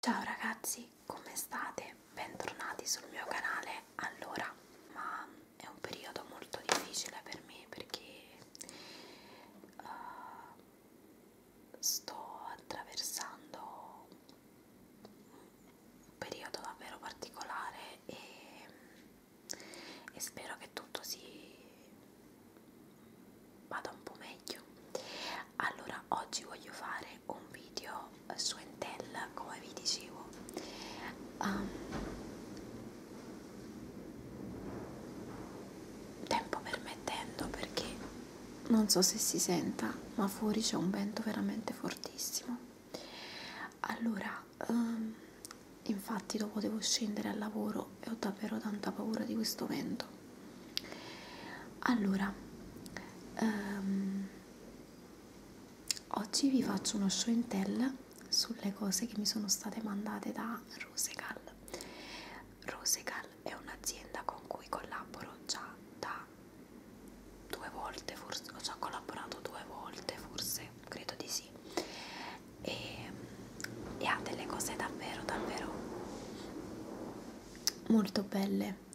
Ciao ragazzi, come state? Bentornati sul mio canale. Allora, ma è un periodo molto difficile per me perché uh, sto attraversando un periodo davvero particolare e, e spero che tutto si vada un po' meglio allora oggi voglio fare un video eh, su Entel come vi dicevo um, tempo permettendo perché non so se si senta ma fuori c'è un vento veramente fortissimo allora um, infatti dopo devo scendere al lavoro e ho davvero tanta paura di questo vento allora um, oggi vi faccio uno show and tell sulle cose che mi sono state mandate da Rosegal Rosegal è un'azienda con cui collaboro già da due volte forse ho già collaborato due volte forse credo di sì e, e ha delle cose davvero davvero molto belle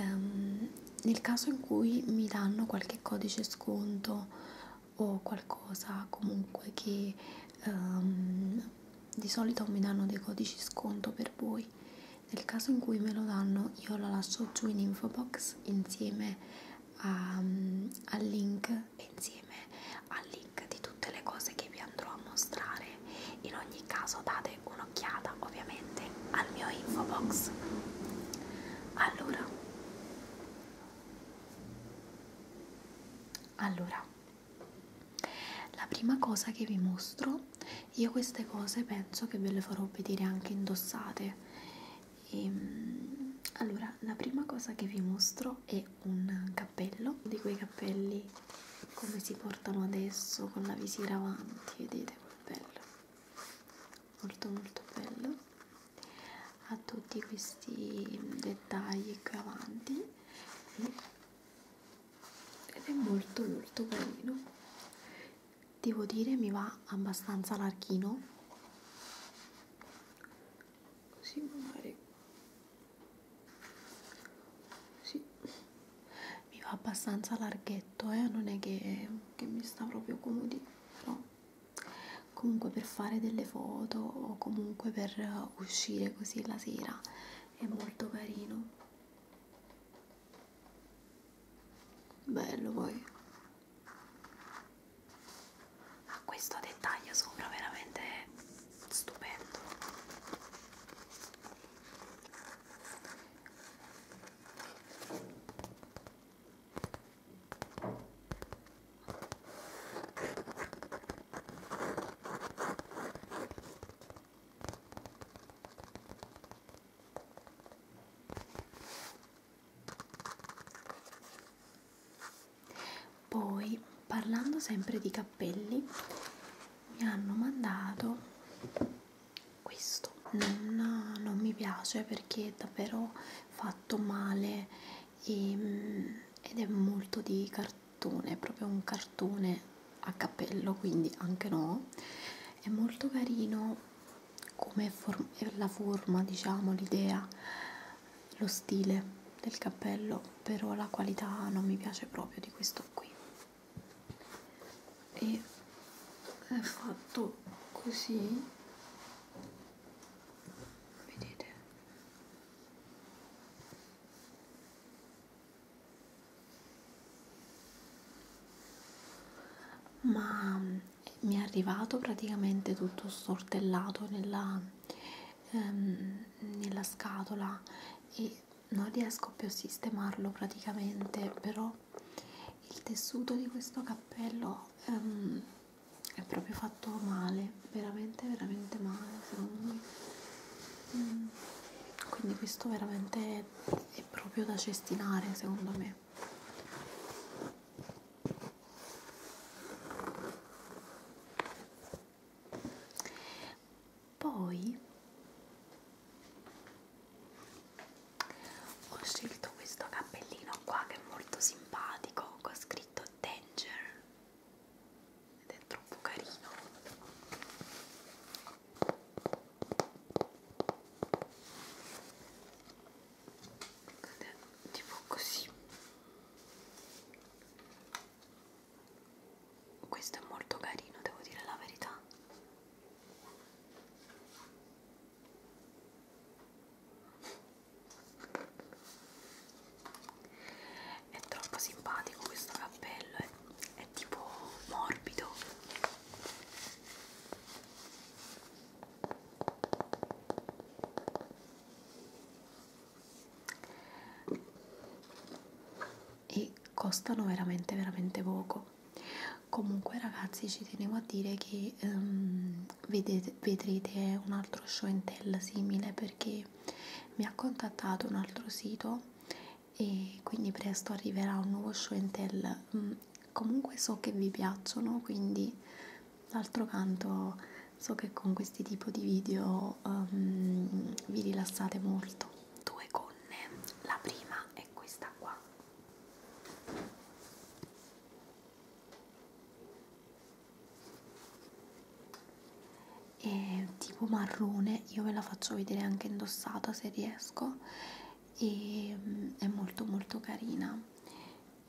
um, nel caso in cui mi danno qualche codice sconto o qualcosa comunque che um, di solito mi danno dei codici sconto per voi nel caso in cui me lo danno io lo lascio giù in info box insieme a, um, al link e insieme al link di tutte le cose che vi andrò a mostrare in ogni caso date dare un'occhiata ovviamente al mio info box allora allora la prima cosa che vi mostro io queste cose penso che ve le farò vedere anche indossate e, ehm, allora la prima cosa che vi mostro è un cappello di quei cappelli come si portano adesso con la visiera avanti vedete che bello molto molto bello ha tutti questi mm, dettagli qui avanti ed è molto molto carino devo dire mi va abbastanza larghino così magari sì, mi va abbastanza larghetto, eh? non è che, che mi sta proprio comodi, però comunque per fare delle foto o comunque per uscire così la sera è molto carino. Bello poi. Ha questo dettaglio sopra veramente stupendo. Poi, parlando sempre di cappelli, mi hanno mandato questo non, non mi piace perché è davvero fatto male e, ehm, ed è molto di cartone è proprio un cartone a cappello quindi anche no è molto carino come for la forma diciamo l'idea lo stile del cappello però la qualità non mi piace proprio di questo qui e è fatto così vedete ma mi è arrivato praticamente tutto stortellato nella, ehm, nella scatola e non riesco più a sistemarlo praticamente però il tessuto di questo cappello um, è proprio fatto male veramente veramente male secondo me mm, quindi questo veramente è proprio da cestinare secondo me poi ho scelto questo cappellino qua che è molto simpatico con scritto danger ed è troppo carino ed è tipo così questo è molto carino devo dire la verità è troppo simpatico questo cappello è, è tipo morbido e costano veramente veramente poco comunque ragazzi ci tenevo a dire che um, ehm, vedete, vedrete un altro show and tell simile perché mi ha contattato un altro sito e quindi presto arriverà un nuovo show and tell mm, comunque so che vi piacciono quindi d'altro canto so che con questi tipi di video um, vi rilassate molto due gonne, la prima è questa qua è tipo marrone, io ve la faccio vedere anche indossata se riesco e mm, è molto molto carina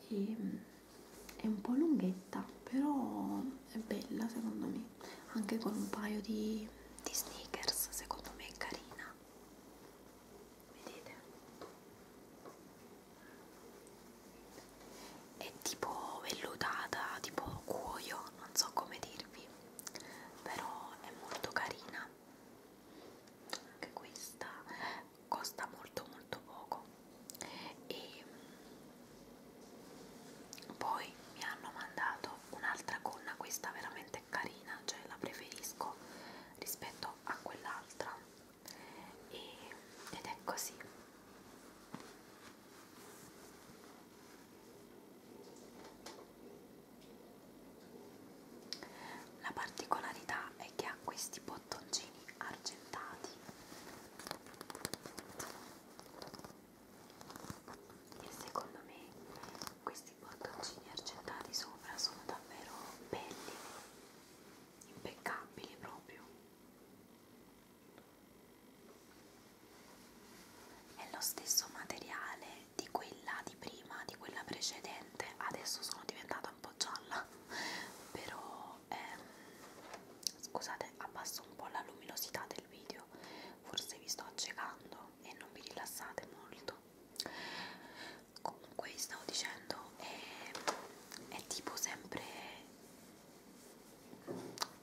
e, mm, è un po' lunghetta però è bella secondo me anche con un paio di di, di sneakers secondo me è carina vedete è tipo vellutata tipo cuoio non so come dirvi però è molto carina anche questa costa molto molto poco e mm, poi mi hanno mandato un'altra gonna, questa veramente carina, cioè la preferisco rispetto a quell'altra e, ed è così. La particolarità è che ha questi bottoncini argentati e secondo me questi bottoncini argentati sopra sono davvero belli impeccabili proprio è lo stesso materiale di quella di prima di quella precedente adesso sono diventata un po' gialla però ehm, scusate abbasso un po' la luminosità del video forse vi sto accecando e non vi rilassate molto comunque vi stavo dicendo è, è tipo sempre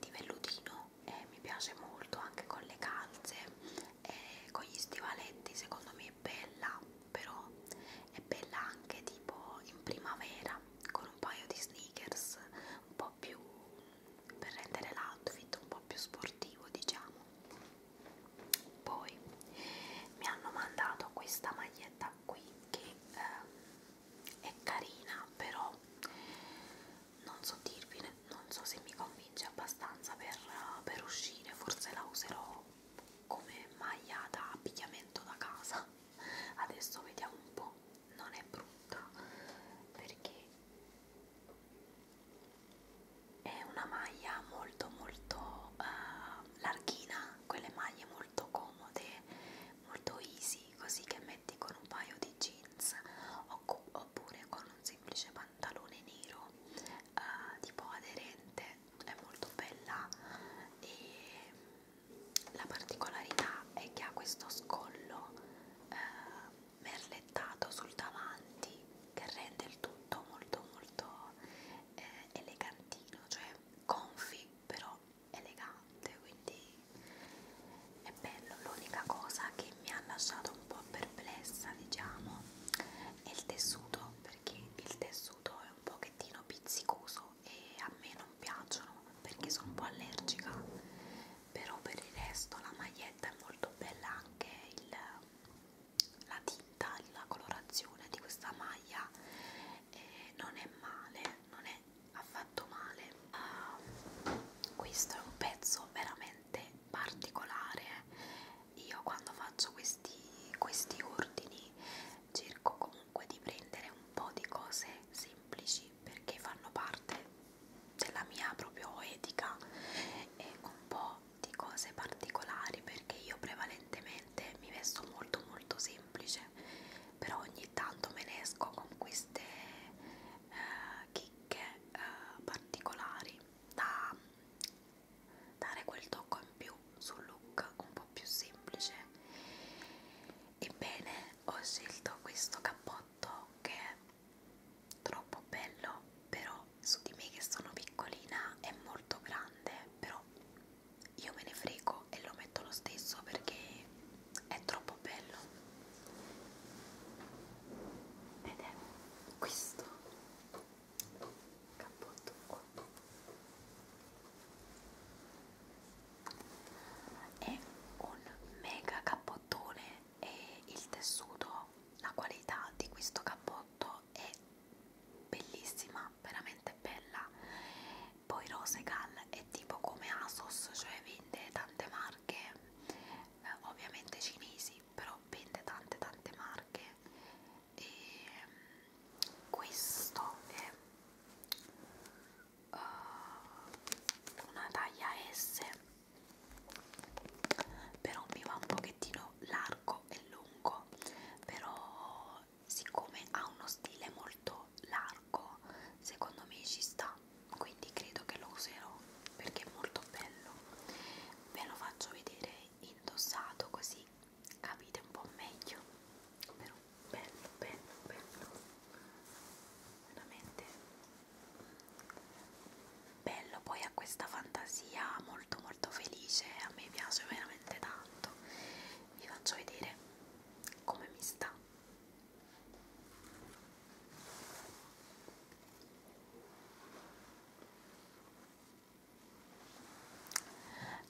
di vellutino e mi piace molto anche con le calze e con gli stivaletti secondo me è bella però è bella anche tipo in primavera con un paio di sneakers un po' po' più per rendere l'outfit un po' più sportivo diciamo poi mi hanno mandato questa maglietta qui che eh, è carina però non so dirvi non so se mi convince abbastanza per, per uscire forse la userò come maglia da abbigliamento da casa adesso vediamo un po' non è brutta perché è una maglia molto molto uh, larghina, quelle maglie molto comode, molto easy, così che metti con un paio di jeans oppure con un semplice pantalone nero uh, tipo aderente, è molto bella e la particolarità è che ha questo scollo uh, merlettato sul davanti che rende il tutto molto molto eh, elegantino, cioè confi però elegante, quindi è bello. L'unica cosa che mi ha lasciato un po' perplessa, diciamo, è il tessuto, perché il tessuto è un pochettino pizzicoso e a me non piacciono perché sono un po' allergica però per il resto la maglietta è molto bella anche il, la tinta, la colorazione di questa maglia eh, non è male, non è affatto male uh, questo è un pezzo veramente particolare io quando faccio questi, questi ordini cerco comunque di prendere un po' di cose semplici perché fanno parte della mia proprio etica e con un po' di cose particolari perché io prevalentemente mi vesto molto molto semplice però ogni tanto me ne esco con queste eh, chicche eh, particolari da dare quel tocco in più sul look un po' più semplice ebbene ho scelto questo cappotto che troppo bello però su di me che sono piccolina è molto grande però io me ne frego e lo metto lo stesso perché è troppo bello ed è questo cappotto qua è un mega cappottone e il tessuto, la qualità di questo cappotto è bellissima, veramente bella. Poi Rosegal è tipo come Asos, cioè vende tante marche, eh, ovviamente cinesi, però vende tante tante marche. E mm, questo è uh, una taglia S però mi va un pochettino largo e lungo però siccome ha uno stile molto largo secondo me ci sta quindi credo che lo userò perché è molto bello ve lo faccio vedere indossato così capite un po' meglio però bello bello bello veramente bello poi ha questa fantasia molto molto felice a me piace veramente tanto vi faccio vedere come mi sta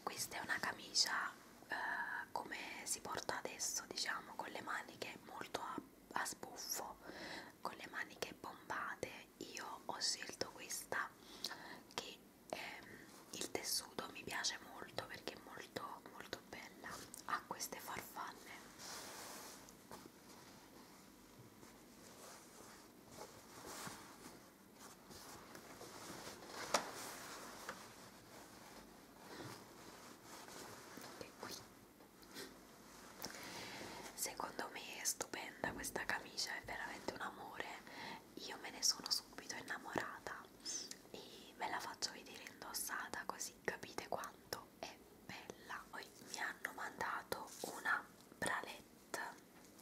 questa è una camicia eh, come si porta adesso diciamo con le maniche molto ampie a sbuffo con le maniche pompate io ho scelto questa che ehm, il tessuto mi piace molto perché è molto molto bella ha queste farfalle e qui Secondo me è stupenda questa camicia, è veramente un amore. Io me ne sono subito innamorata e ve la faccio vedere indossata così capite quanto è bella. Poi mi hanno mandato una bralette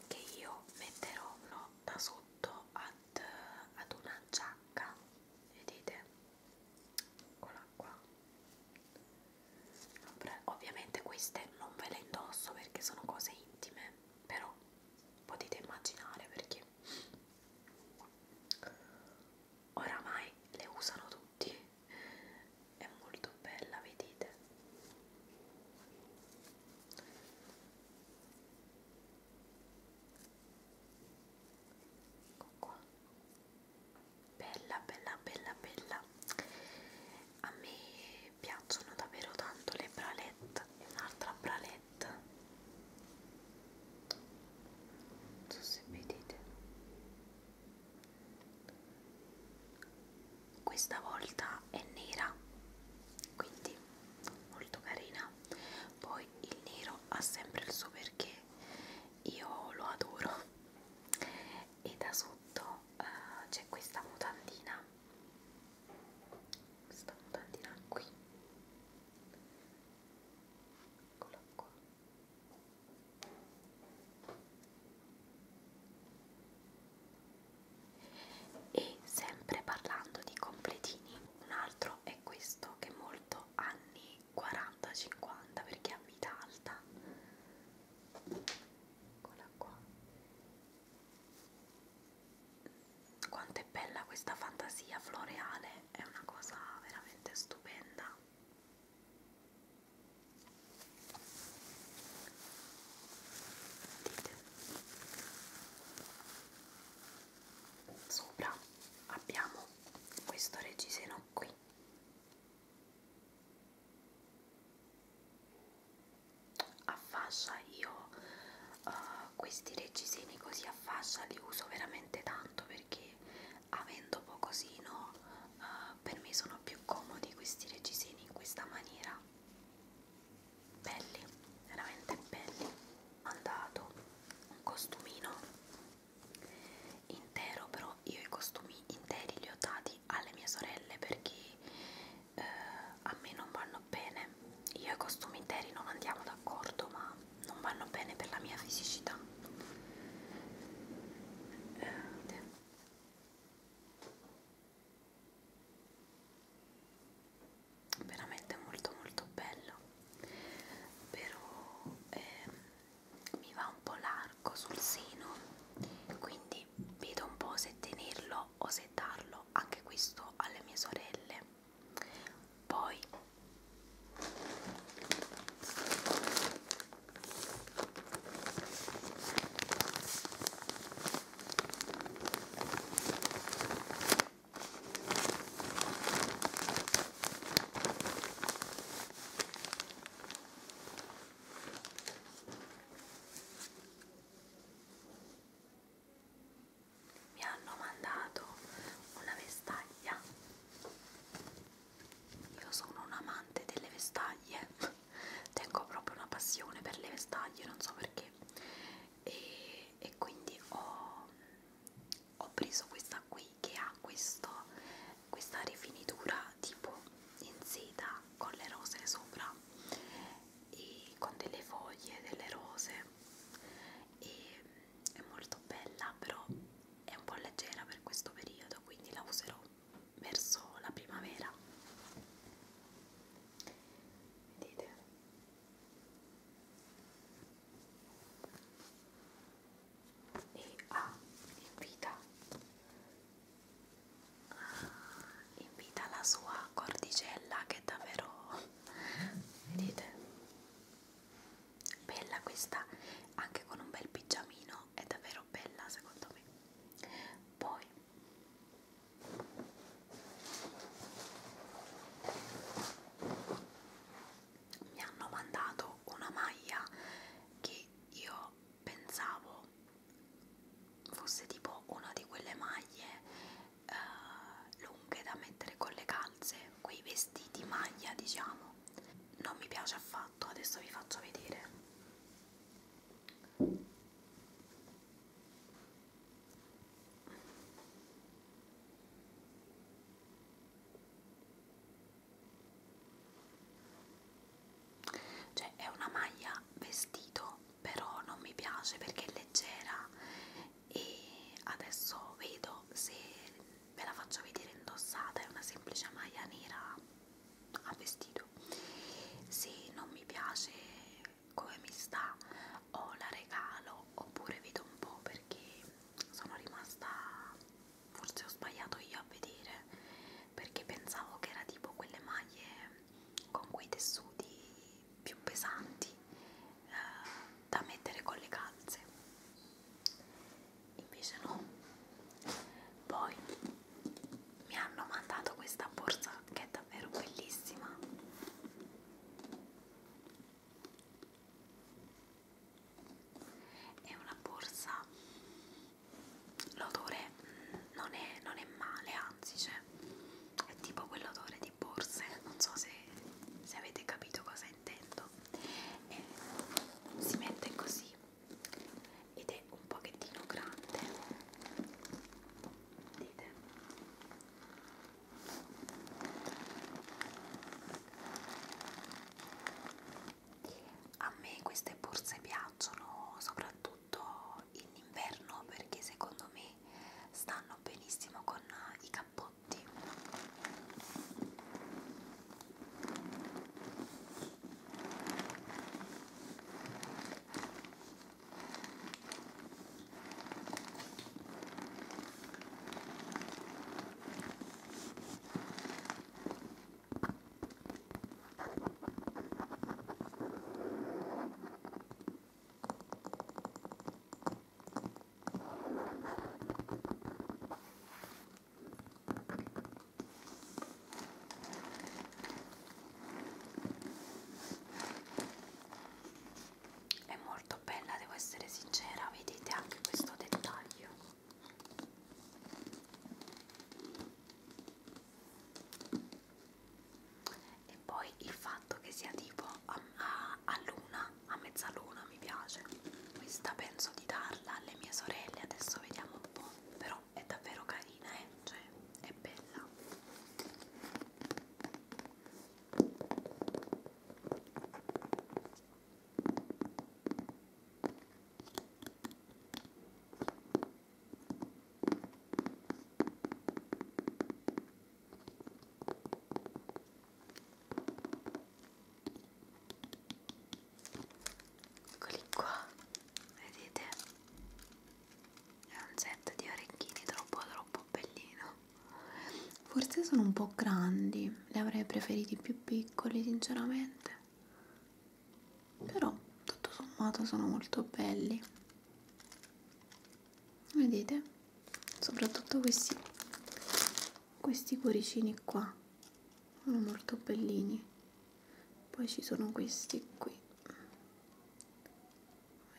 che io metterò no, da sotto ad, ad una giacca, vedete? eccola qua ovviamente queste non ve le indosso perché sono cose intime però potete immaginare perché oramai le usano tutti è molto bella vedete ecco qua bella bella bella bella a me piacciono davvero tanto le bralette un'altra bralette non so se vedete questa volta è nera quindi molto carina poi il nero ha sempre il suo perché io lo adoro e da sotto uh, c'è questa mutandina questa mutandina qui eccola qua e sempre parlando di completini un altro è questo che molto anni 40-50 perché è a vita alta eccola qua quanto è bella questa fantasia floreale è una cosa veramente stupenda Dite. sopra abbiamo questo reggiseno qui a fascia io uh, questi reggiseni così a fascia li uso veramente tanto perché avendo pocosino uh, eh, per me sono più comodi questi reggiseni in questa maniera belli veramente belli mandato un costumino intero però io i costumi interi li ho dati alle mie sorelle perché eh, a me non vanno bene io i costumi interi non andiamo d'accordo ma non vanno bene per la mia fisicità eh, veramente molto molto bello però eh, mi va un po' largo sul seno quindi vedo un po' se tenerlo o se darlo anche questo alle mie sorelle poi mi hanno mandato una vestaglia io sono un amante delle vestaglie tengo proprio una passione per le vestaglie non so perché e, e quindi ho ho preso questa qui che ha questo, questa rifinitura tipo in seta con le rose sopra e con delle foglie delle rose e è molto bella però è un po' leggera per questo periodo quindi la userò verso la primavera vedete e ah, invita, ah, invita la sua cordicella che è davvero, vedete, bella questa, anche con un bel pigiamino, è davvero bella secondo me. Poi mi hanno mandato una maglia che io pensavo fosse tipo una di quelle maglie eh, lunghe da mettere con le calze, quei vestiti maglia diciamo. Non mi piace affatto, adesso vi faccio vedere cioè è una maglia vestito però non mi piace perché è leggera e adesso vedo se ve la faccio vedere indossata è una semplice maglia nera a vestito se non mi piace come mi sta o la regalo oppure vedo un po' perché sono rimasta forse ho sbagliato io a vedere perché pensavo che era tipo quelle maglie con quei tessuti più pesanti eh, da mettere con le calze invece no poi mi hanno mandato questa borsa che è davvero bellissima è una borsa l'odore non è, non è male anzi cioè, è tipo quell'odore di borse non so se, se avete capito cosa intendo e si mette così ed è un pochettino grande dite a me queste borse piacciono soprattutto in inverno perché secondo me stanno benissimo con i cappotti è molto bella, devo essere sincera, vedete anche questo dettaglio e poi il fatto che sia tipo a, a, a luna, a mezzaluna mi piace questa penso di darla alle mie sorelle adesso vediamo un po' però è davvero carina eh? cioè è bella Eccoli qua, vedete? È un set di orecchini troppo troppo bellino. Forse sono un po' grandi, li avrei preferiti più piccoli sinceramente però tutto sommato sono molto belli vedete soprattutto questi questi cuoricini qua sono molto bellini poi ci sono questi qui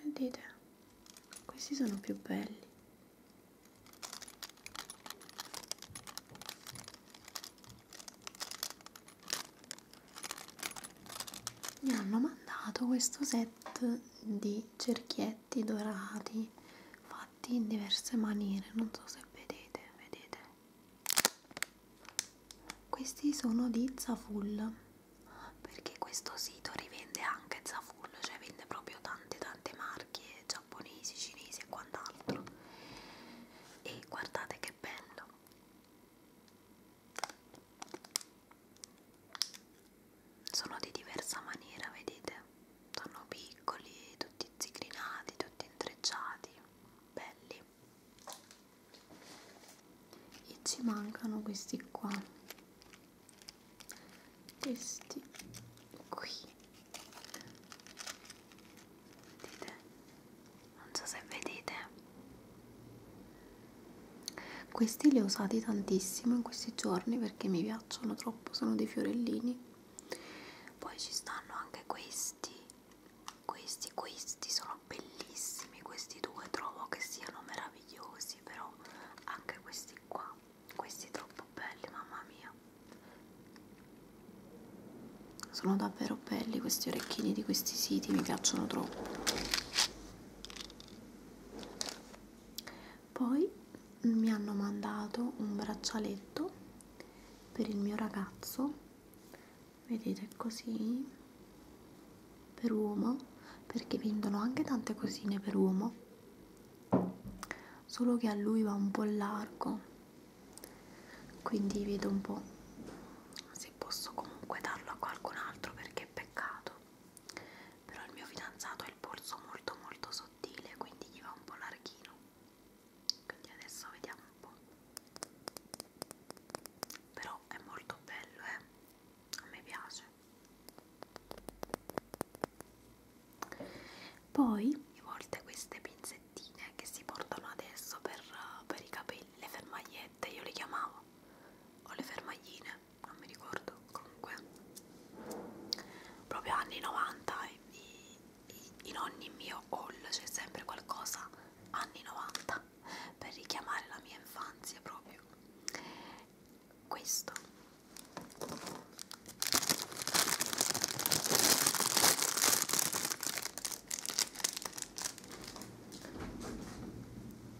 vedete questi sono più belli mi hanno mandato questo set di cerchietti dorati fatti in diverse maniere non so se vedete vedete questi sono di Zafull perché questo sito rivende anche Zafull cioè vende proprio tante tante marche giapponesi, cinesi e quant'altro e guardate che bello sono di diversa maniera vedete sono piccoli tutti zigrinati tutti intrecciati belli e ci mancano questi qua questi qui Vedete? Non so se vedete. Questi li ho usati tantissimo in questi giorni perché mi piacciono troppo, sono dei fiorellini. Poi ci stanno anche questi. Questi, questi sono bellissimi, questi due trovo che siano meravigliosi, però anche questi qua, questi troppo troppo belli, mamma mia. Sono davvero belli questi orecchini di questi siti, mi piacciono troppo. Poi mi hanno mandato un braccialetto per il mio ragazzo, vedete così, per uomo, perché vendono anche tante cosine per uomo, solo che a lui va un po' largo quindi vedo un po' se posso comunque darlo a qualcun altro perché è peccato però il mio fidanzato ha il polso molto molto sottile quindi gli va un po' larghino quindi adesso vediamo un po' però è molto bello eh a me piace poi mi molte queste pinzettine che si portano adesso per, per i capelli, le fermagliette, io le chiamavo, o le fermagline, non mi ricordo, comunque, proprio anni 90 i, i, in ogni mio haul c'è sempre qualcosa anni 90 per richiamare la mia infanzia proprio questo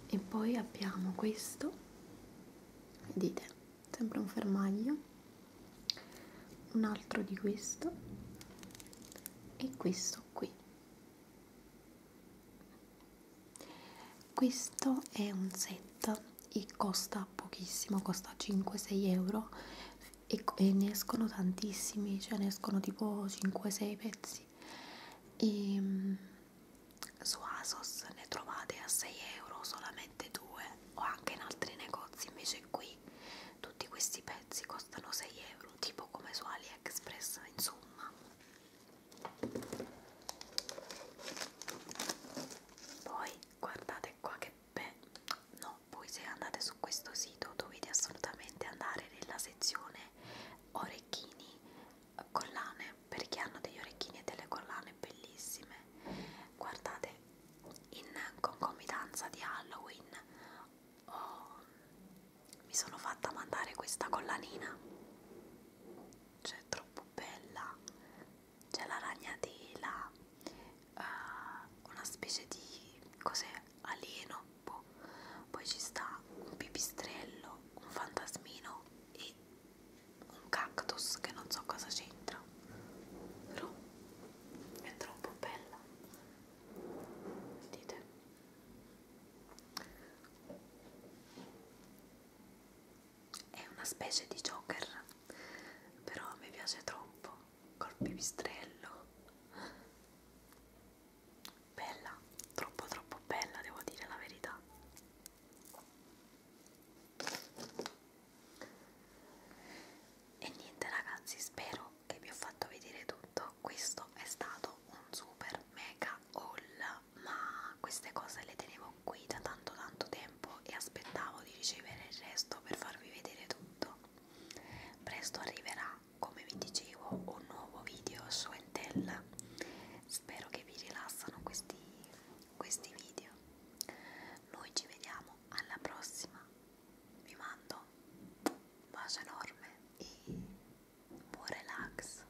e poi abbiamo questo vedete sempre un fermaglio un altro di questo e questo qui questo è un set e costa pochissimo costa 5-6 euro e, e ne escono tantissimi, cioè ne escono tipo 5-6 pezzi e ehm, su Asos ne trovate a 6 euro solamente due o anche in altri negozi invece qui tutti questi pezzi costano 6 euro tipo come su AliExpress insomma poi guardate qua che beh no voi se andate su questo sito dovete assolutamente andare nella sezione orecchini collane perché hanno degli orecchini e delle collane bellissime guardate in concomitanza di Halloween oh, mi sono fatta mandare questa collanina cioè troppo bella c'è la ragnatela, uh, una specie di cos'è alieno, boh. poi ci sta un pipistrello, un fantasmino e un cactus che non so cosa c'entra, però è troppo bella, vedete? È una specie di Joker, però mi piace troppo col pipistrello bella troppo troppo bella devo dire la verità e niente ragazzi spero che vi ho fatto vedere tutto questo è stato un super mega haul ma queste cose le tenevo qui da tanto tanto tempo e aspettavo di ricevere il resto per farvi vedere tutto tutto. Presto arriverà, come vi dicevo, un nuovo video su Entel. Spero che vi rilassano questi, questi video. Noi ci vediamo alla prossima. Vi mando un bacio enorme e buon relax.